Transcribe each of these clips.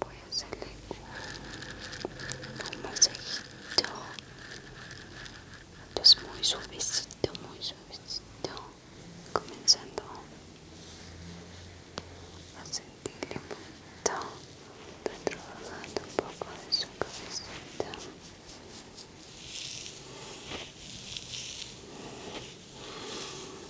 voy a hacerle un, un masajito es muy suavecito muy suavecito comenzando a sentirle un poquito trabajando un poco de su cabecita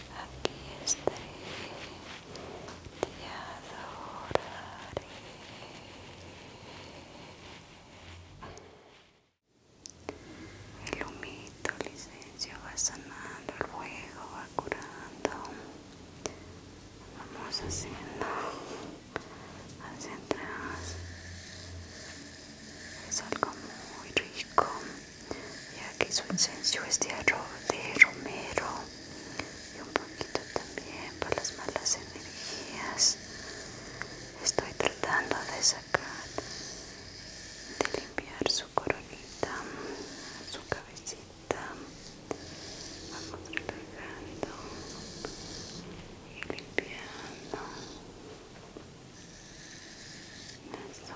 aquí esté, te adoraré. El humito, licencio, va sanando, el fuego va curando. Vamos haciendo hacia atrás. Es algo muy rico y aquí su incenso es de, de romero y un poquito también para las malas energías estoy tratando de sacar de limpiar su coronita su cabecita vamos relajando y limpiando eso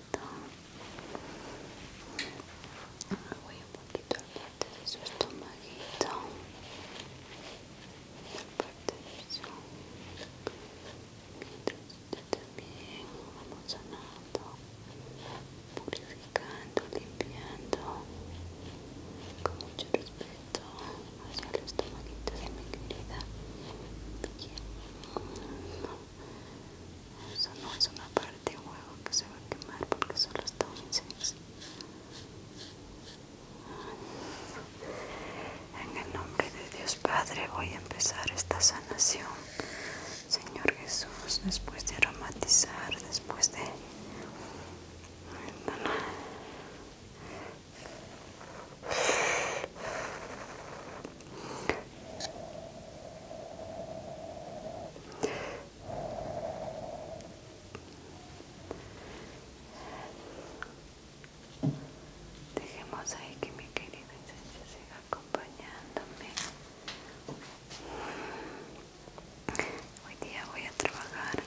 voy un poquito la parte de su estomaguito la parte de su mientras usted también vamos sanando purificando, limpiando con mucho respeto hacia el estomaguito de mi querida Bien. eso no es una parte de huevo que se va a quemar porque solo está un en el nombre de Dios Padre voy a empezar esta sanación Señor Jesús después de aromatizar después de Dejemos ahí que mi querida esencia siga acompañándome. Hoy día voy a trabajar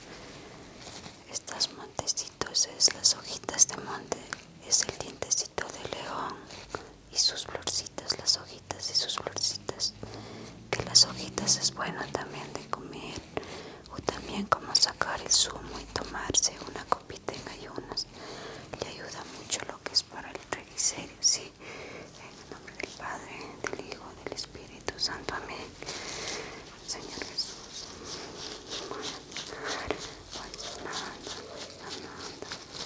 estas montecitos, es las hojitas de monte, es el dientecito de león y sus florcitas, las hojitas y sus florcitas. Que las hojitas es bueno también de comer o también como sacar el zumo y tomarse una copita en ayunas. Le ayuda mucho lo que es para el reguiserio sí. En el nombre del Padre, del Hijo, del Espíritu Santo. Amén. Señor Jesús. Pues pues pues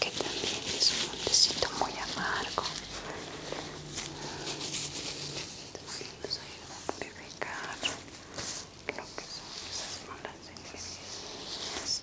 que también es un montecito muy amargo vamos nos ayuda a purificar lo que son esas malas energías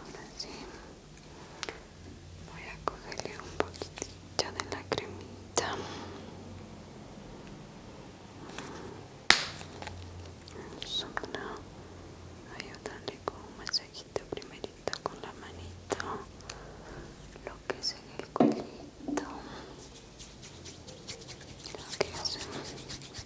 Ahora sí, voy a cogerle un poquitito de la cremita. voy a Ayudarle con un masajito primerito con la manita, lo que es en el cuellito. Lo que hacemos.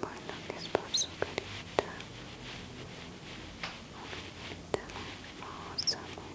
bueno, que es por su hermosa, muy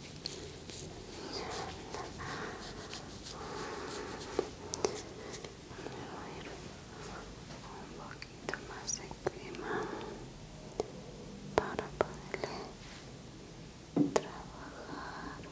um poquito mais de crema para poderle trabalhar lo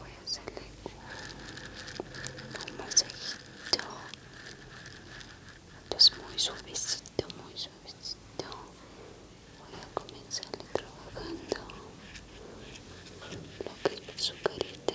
voy a hacerle un, un masajito es muy suavecito muy suavecito voy a comenzarle trabajando lo que es su carita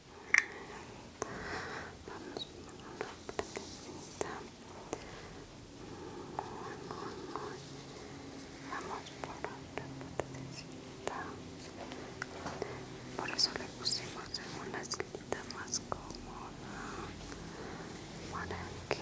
Vamos por otra partecita. Muy, muy, muy. Vamos por otra partecita. Por eso le pusimos en una esquinita más cómoda. Para que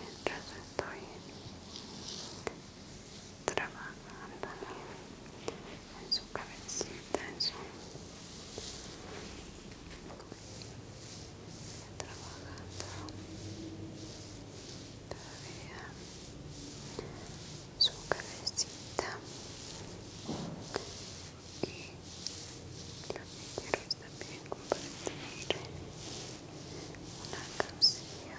mientras estoy trabajando en su cabecita, en su trabajando todavía su cabecita y lo que quiero es bien compartir una canción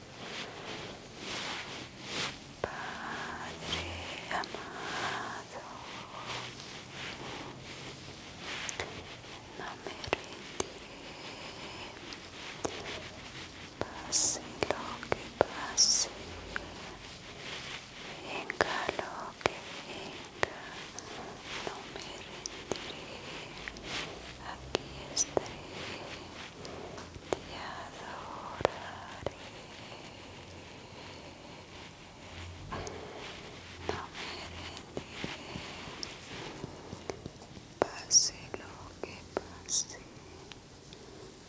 Padre amado, não me rendirei, passe lo que passe, venga lo que venga, não me rendirei, aqui estarei. te adoraré. No me rendiré, pase lo que pase,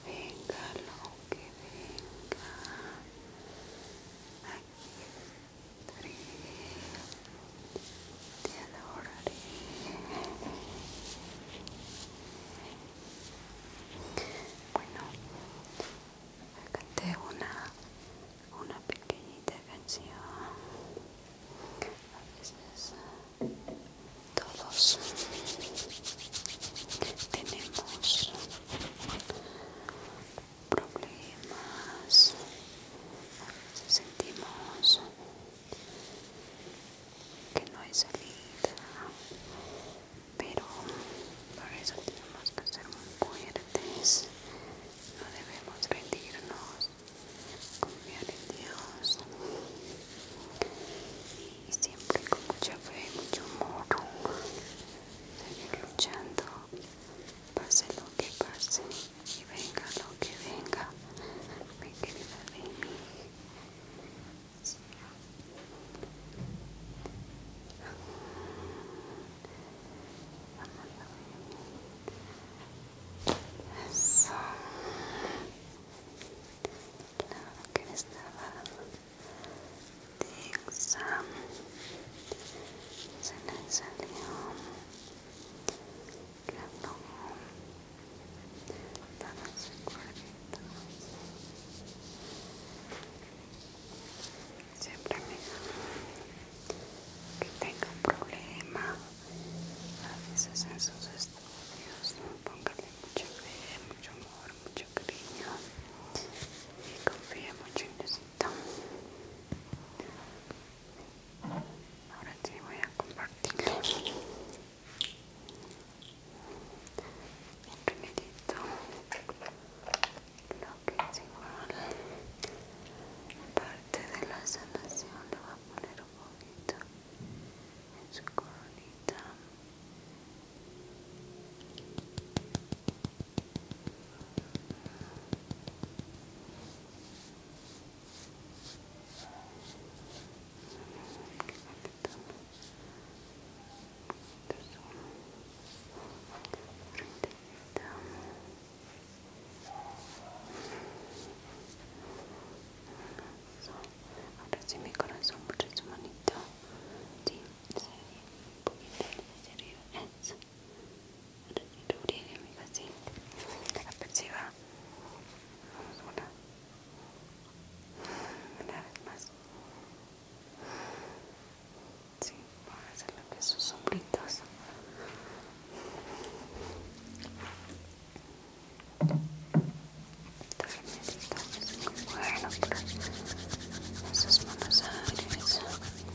venga lo que venga, aquí estaré, te adoraré. Bueno, canté una, una pequeñita canción. A veces todos tenemos problemas, a sentimos que no es salida pero para eso tenemos que ser muy fuertes no debemos rendirnos confiar en Dios y siempre con mucha fe y mucho amor seguir luchando pase lo que pase y venga lo que venga mi de mí eso. Claro que estaba de examen Se le salió Danos Siempre me que tenga un problema, a veces en sus estudios, póngale mucha fe, mucho amor, mucho cariño y confíe mucho en Diosito. Ahora sí voy a compartirlo. Un lo que es parte de la sanación lo va a poner un poquito en su coronita Ahora sí mi corazón mucho su manito. Sí, un poquito hacia arriba. Ahora sí mi Vamos, una vez más. Sí, vamos a hacer lo que es sombritos. Muy bueno para esos manos aires. Muy